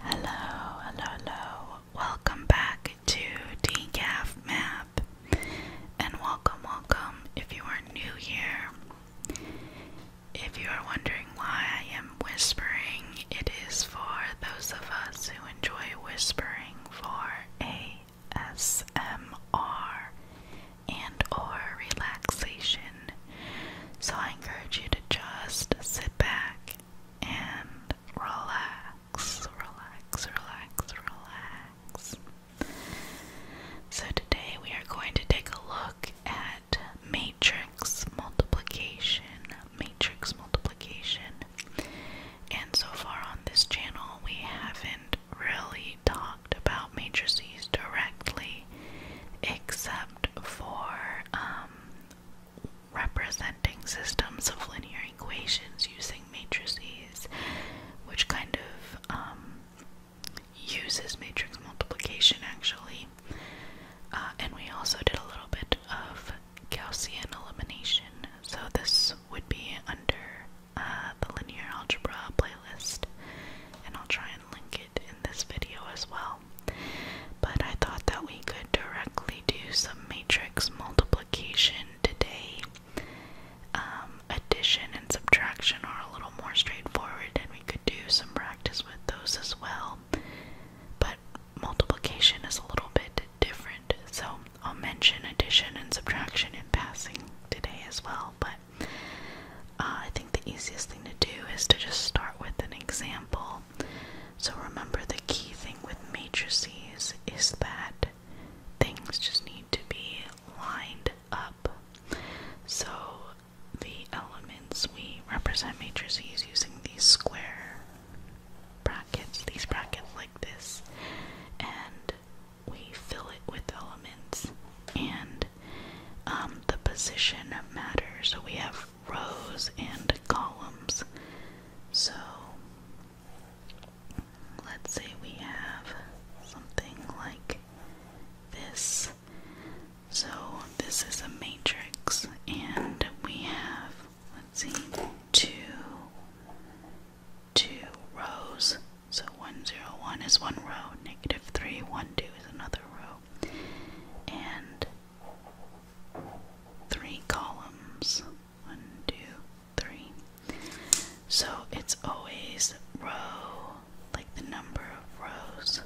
Hello, hello, hello. Welcome back to Decaf Map. And welcome, welcome if you are new here. If you are wondering why I am whispering, it is for those of us who enjoy whispering for ASMR and or relaxation so I encourage you to just sit back and relax, relax, relax, relax. So today we are going to take a look at matrix multiplication, matrix multiplication. And so far on this channel, we haven't really talked about matrices directly, except for um, representing systems of linear equations using matrices, which kind of um, uses matrix multiplication actually. Uh, and we also did a little bit of Gaussian elimination. So this would be under uh, the linear algebra playlist, and I'll try and link it in this video as well. But I thought that we could directly do some matrix multiplication today. Um, addition and subtraction are a little more straightforward, and we could do some practice with those as well. But multiplication is a little bit different, so I'll mention addition and subtraction in passing today as well. But uh, I think the easiest thing to do is to just start with an example. So remember, the key thing with matrices is that things just need to be lined up. So the elements we represent matrices using these square brackets, these brackets like this, and we fill it with elements and um, the position matters. So we have rows and columns. So let's say we have something like this. So this is a matrix, and we have, let's see, two, two rows. So 1, 1 is one row, negative 3, 1, 2 is another row and three columns. One, two, three. So it's always row, like the number of rows,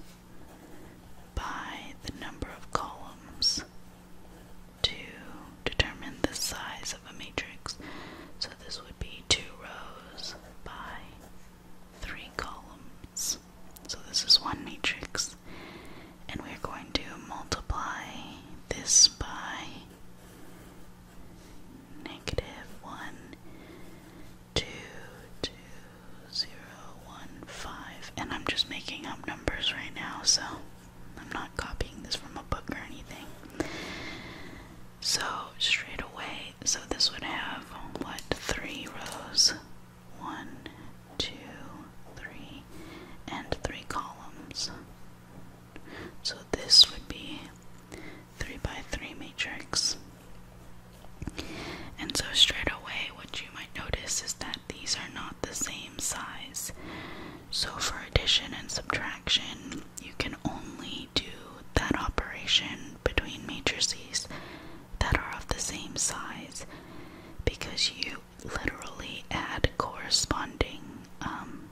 by the number of columns to determine the size of a matrix. So this would be two rows by three columns. So this is one matrix, and we're going to multiply this by negative 1, And I'm just making up numbers right now, so I'm not copying this from a book or anything. So straight away, so this would have what three rows? One, two, three, and three columns. So this would be three by three matrix. And so straight away what you might notice is that these are not the same size. So for addition and subtraction, you can only do that operation between matrices that are of the same size because you literally add corresponding um,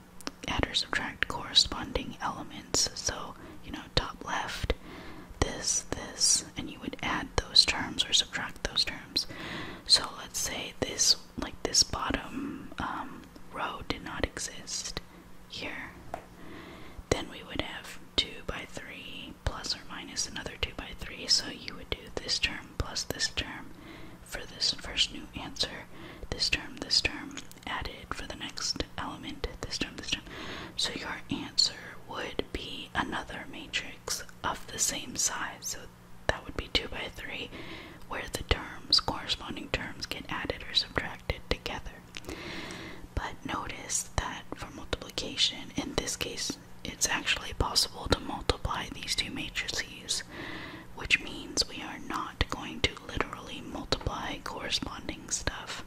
add or subtract corresponding elements so you know top left this this and you would add those terms or subtract those terms so let's say this like this bottom um, row did not exist here, then we would have 2 by 3 plus or minus another 2 by 3. So you would do this term plus this term for this first new answer, this term, this term, added for the next element, this term, this term. So your answer would be another matrix of the same size. So that would be 2 by 3, where the terms, corresponding terms, get added or subtracted together. But notice that for multiplication, in this case, it's actually possible to multiply these two matrices, which means we are not going to literally multiply corresponding stuff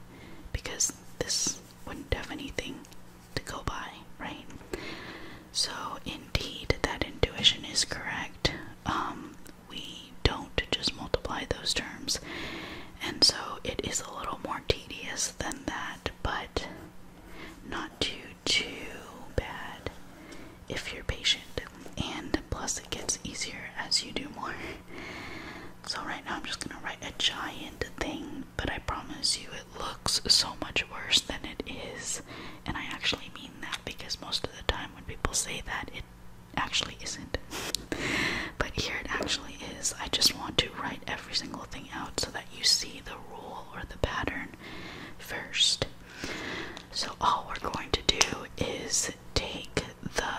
because this wouldn't have anything to go by, right? So, indeed, that intuition is correct. Um, we don't just multiply those terms. And so it is a little more tedious than that, but not too, too bad if you're patient. And plus, it gets easier as you do more. So, right now, I'm just gonna write a giant thing, but I promise you it looks so much worse than it is. And I actually mean that because most of the time when people say that, it actually isn't. but here it actually is. I just want to write every single thing out so that you see the rule or the pattern first. So all we're going to do is take the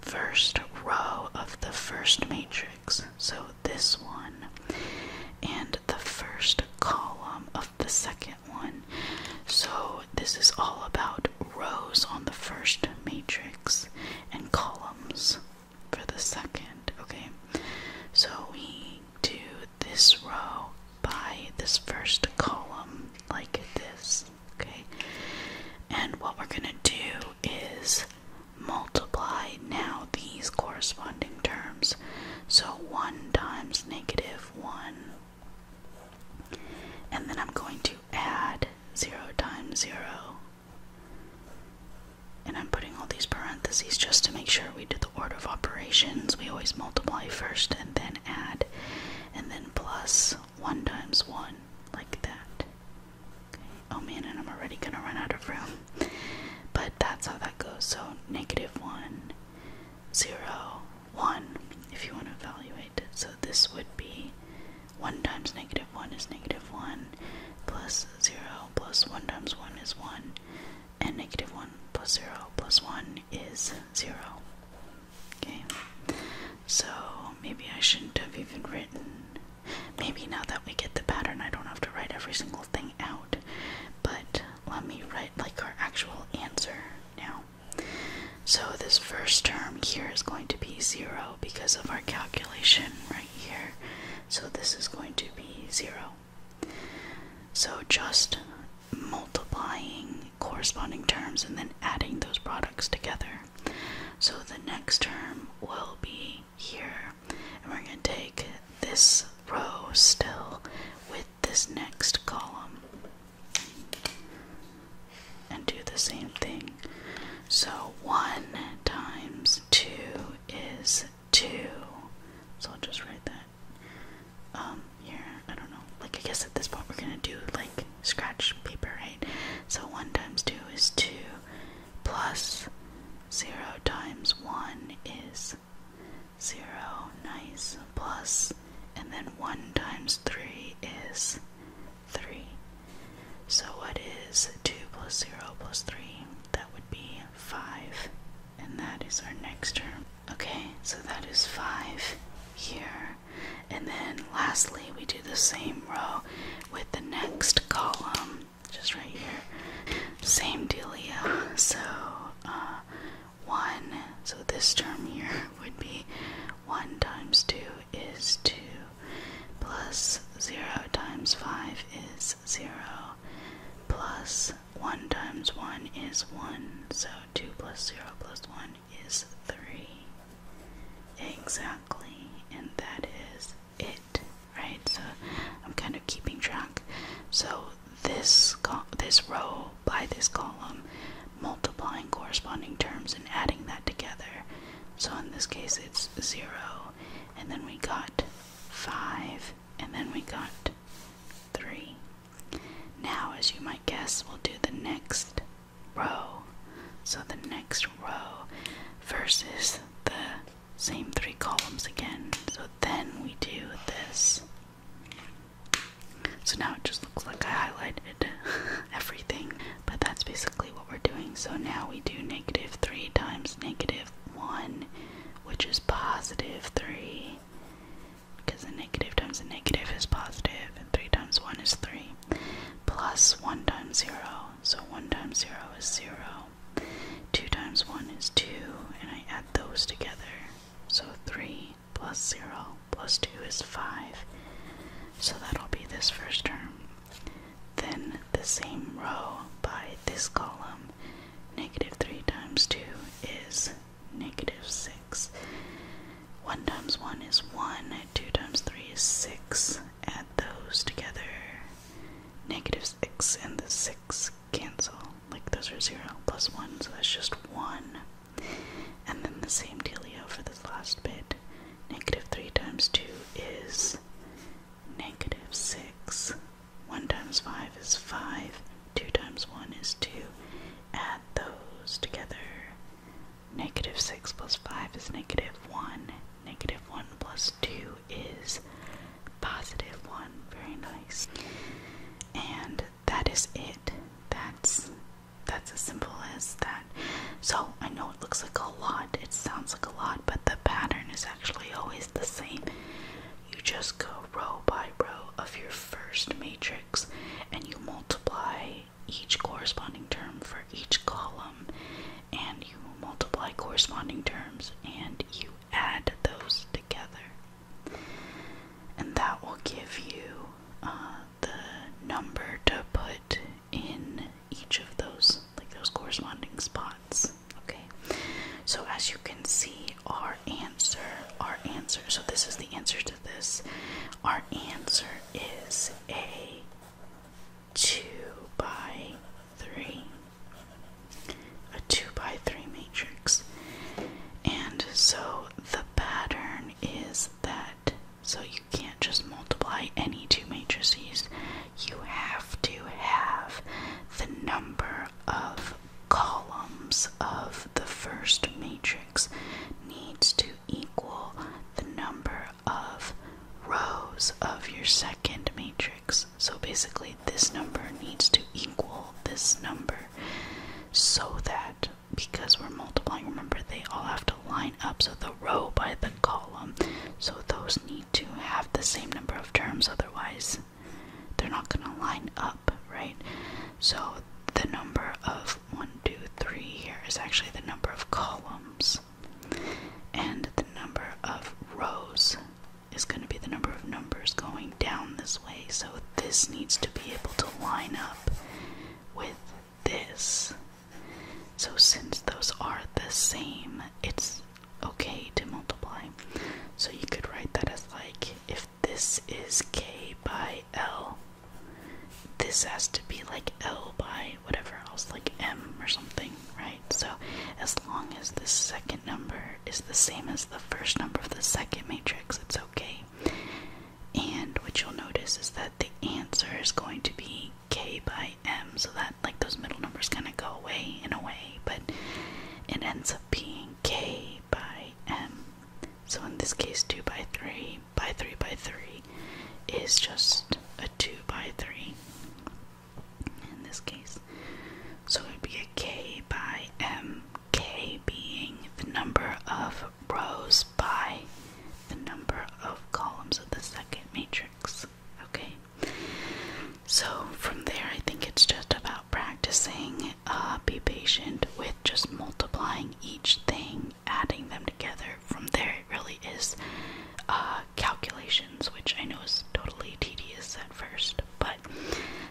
first row of the first matrix, so this one, and the first column of the second one. So this is all about rows on the first matrix and columns for the second, okay? So we do this row by this first column like this, okay? And what we're going to do is multiply now these corresponding terms. So 1 times negative 1 and then I'm going to add 0 times 0. And I'm putting all these parentheses just to make sure we do the order of operations. We always multiply first and then add, and then plus 1 times 1, like that. Oh man, and I'm already gonna run out of room. But that's how that goes. So negative 1 0, 1 if you want to evaluate So this would be 1 times negative 1 is negative 1, plus 0 plus 1 times 1 is 1, and negative 1 plus 0 plus 1 is 0. Okay, so maybe I shouldn't have even written. Maybe now that we get the pattern, I don't have to write every single thing out, but let me write like our actual answer now. So this first term here is going to be 0 because of our calculation right here. So this is going to be 0. So just multiplying corresponding terms and then adding those products together. So the next term will be here. And we're going to take this row still with this next column and do the same thing. So 1 times 2 is 2. So I'll just write that um, here. I don't know. Like, I guess at this point we're going to do like scratch paper, right? So 1 times 2 is 2 plus 0 times 1 is 0 nice plus and then 1 times 3 is 3. So what is 2 plus 0 plus 3? That would be 5. And that is our next term. Okay, so that is 5 here. And then lastly, we do the same row with the next column, just right here. Same dealio. So uh, 1, so this term here would be 1 times 2 is 2, plus 0 times 5 is 0, plus 1 times 1 is 1, so 2 plus 0 plus 1 is 3. Exactly, and that is it, right? So I'm kind of keeping track. So this this row by this column, multiplying corresponding terms and adding that together. So in this case, it's zero, and then we got five, and then we got three. Now, as you might guess, we'll do the next row. So the next row versus the same three columns again. So then we do this. So now it just looks like I highlighted everything, but that's basically what we're doing. So now we do negative 3 times negative 1, which is positive 3, because a negative times a negative is positive, and 3 times 1 is 3, plus 1 times 0. So 1 times 0 is 0. 2 times 1 is 2, and I add those together. So 3 plus 0 plus 2 is 5. So that'll be this first term. Then the same row by this column. Negative 3 times 2 is negative 6. 1 times 1 is 1, 2 times 3 is 6. Add those together. Negative 6 and the 6 cancel like those are 0 plus 1, so that's just 1. And then the same dealio for this last bit. Negative 3 times 2 is negative 6. 1 times 5 is 5. 2 times 1 is 2. Add those together. Negative 6 plus 5 is negative 1. Negative 1 plus 2 is positive one. Very nice. And that is it. That's that's as simple as that. So I know it looks like a lot, it sounds like a lot, but the pattern is actually always the same. You just go row by row of your first matrix and you multiply each corresponding term for each column and you multiply corresponding terms and you add those together. And that will give you uh, the number to put in each of those, like those corresponding spots. Okay, so as you can see, our answer, our answer, so this is the answer to this. Our answer is A 2 by 3, a 2 by 3 matrix. And so the pattern is that, so you can't just multiply any two matrices, you have to have the number of columns of the first matrix needs to equal the number of rows of your second matrix. So basically, this number needs to equal this number so that because we're multiplying, remember they all have to line up. So the row by the column. So those need to have the same number of terms, otherwise, they're not going to line up, right? So the number of 1, 2, 3 here is actually the number of columns. And the number of rows is going to be the number of numbers going down this way. So this needs to be able to line up with this. So since those are the same, it's okay to multiply. So you could write that as like if this is k by l, this has to be like l by whatever else, like m or something, right? So as long as the second number is the same as the first number of the second matrix, it's okay. And what you'll notice is that the answer is going to be k by m, so that like those middle numbers kind of go away in a way, but it ends up being k by m. So in this case, 2 by 3 by 3 by 3 is just a 2 by 3 in this case. So it would be a k by m, k being the number of rows by the number of columns of the second matrix. Okay? So from there, I think it's just about practicing. Uh, be patient with just multiplying each thing, adding them together. From there, really is uh, calculations, which I know is totally tedious at first, but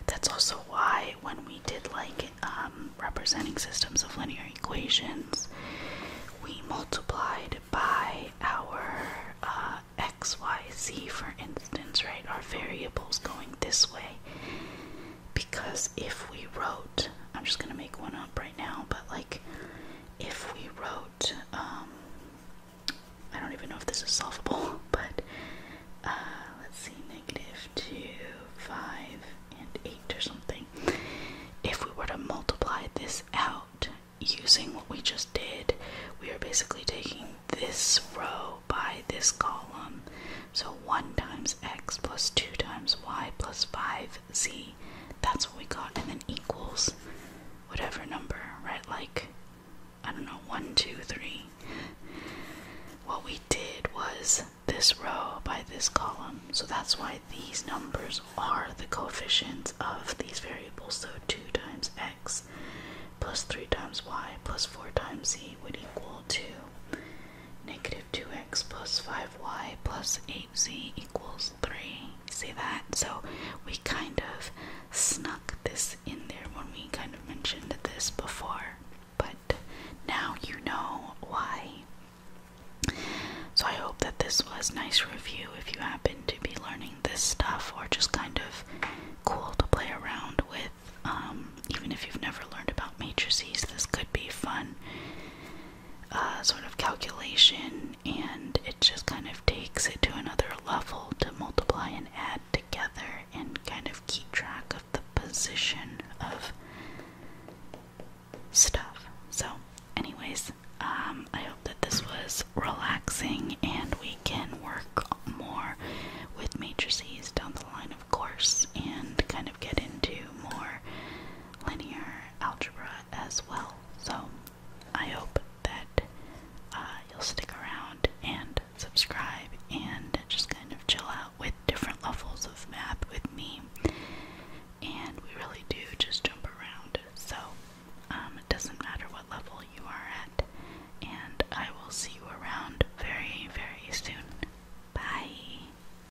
that's also why when we did like um, representing systems of linear equations, we multiplied by our uh, x, y, z, for instance, right? Our variables going this way. Because if we wrote, I'm just going to make one up right now, but like if we wrote, um, I don't even know if this is solvable, but uh, let's see, negative 2, 5, and 8 or something. If we were to multiply this out using what we just did, we are basically taking this row by this column. So 1 times x plus 2 times y plus 5z that's what we got, and then equals whatever number, right? Like, I don't know, 1, 2, 3. What we did was this row by this column, so that's why these numbers are the coefficients of these variables. So 2 times x plus 3 times y plus 4 times z would equal to negative 2x plus 5y plus 8 z equals 3. See that? So we kind of snuck this in there when we kind of mentioned this before, but now you know why. So I hope that this was nice review if you happen to be learning this stuff or just kind of cool to play around with. Um, even if you've never learned about matrices, this could be fun. Uh, sort of calculation, and it just kind of takes it to another level to multiply and add together and kind of keep track of the position of stuff. So, anyways, um, I hope that this was relaxing and we can work more with matrices down the line, of course, and kind of get into more linear algebra as well. So I hope that uh, you'll stick around and subscribe and just kind of chill out with different levels of math with me. And we really do just jump around. So um, it doesn't matter what level you are at. And I will see you around very, very soon. Bye.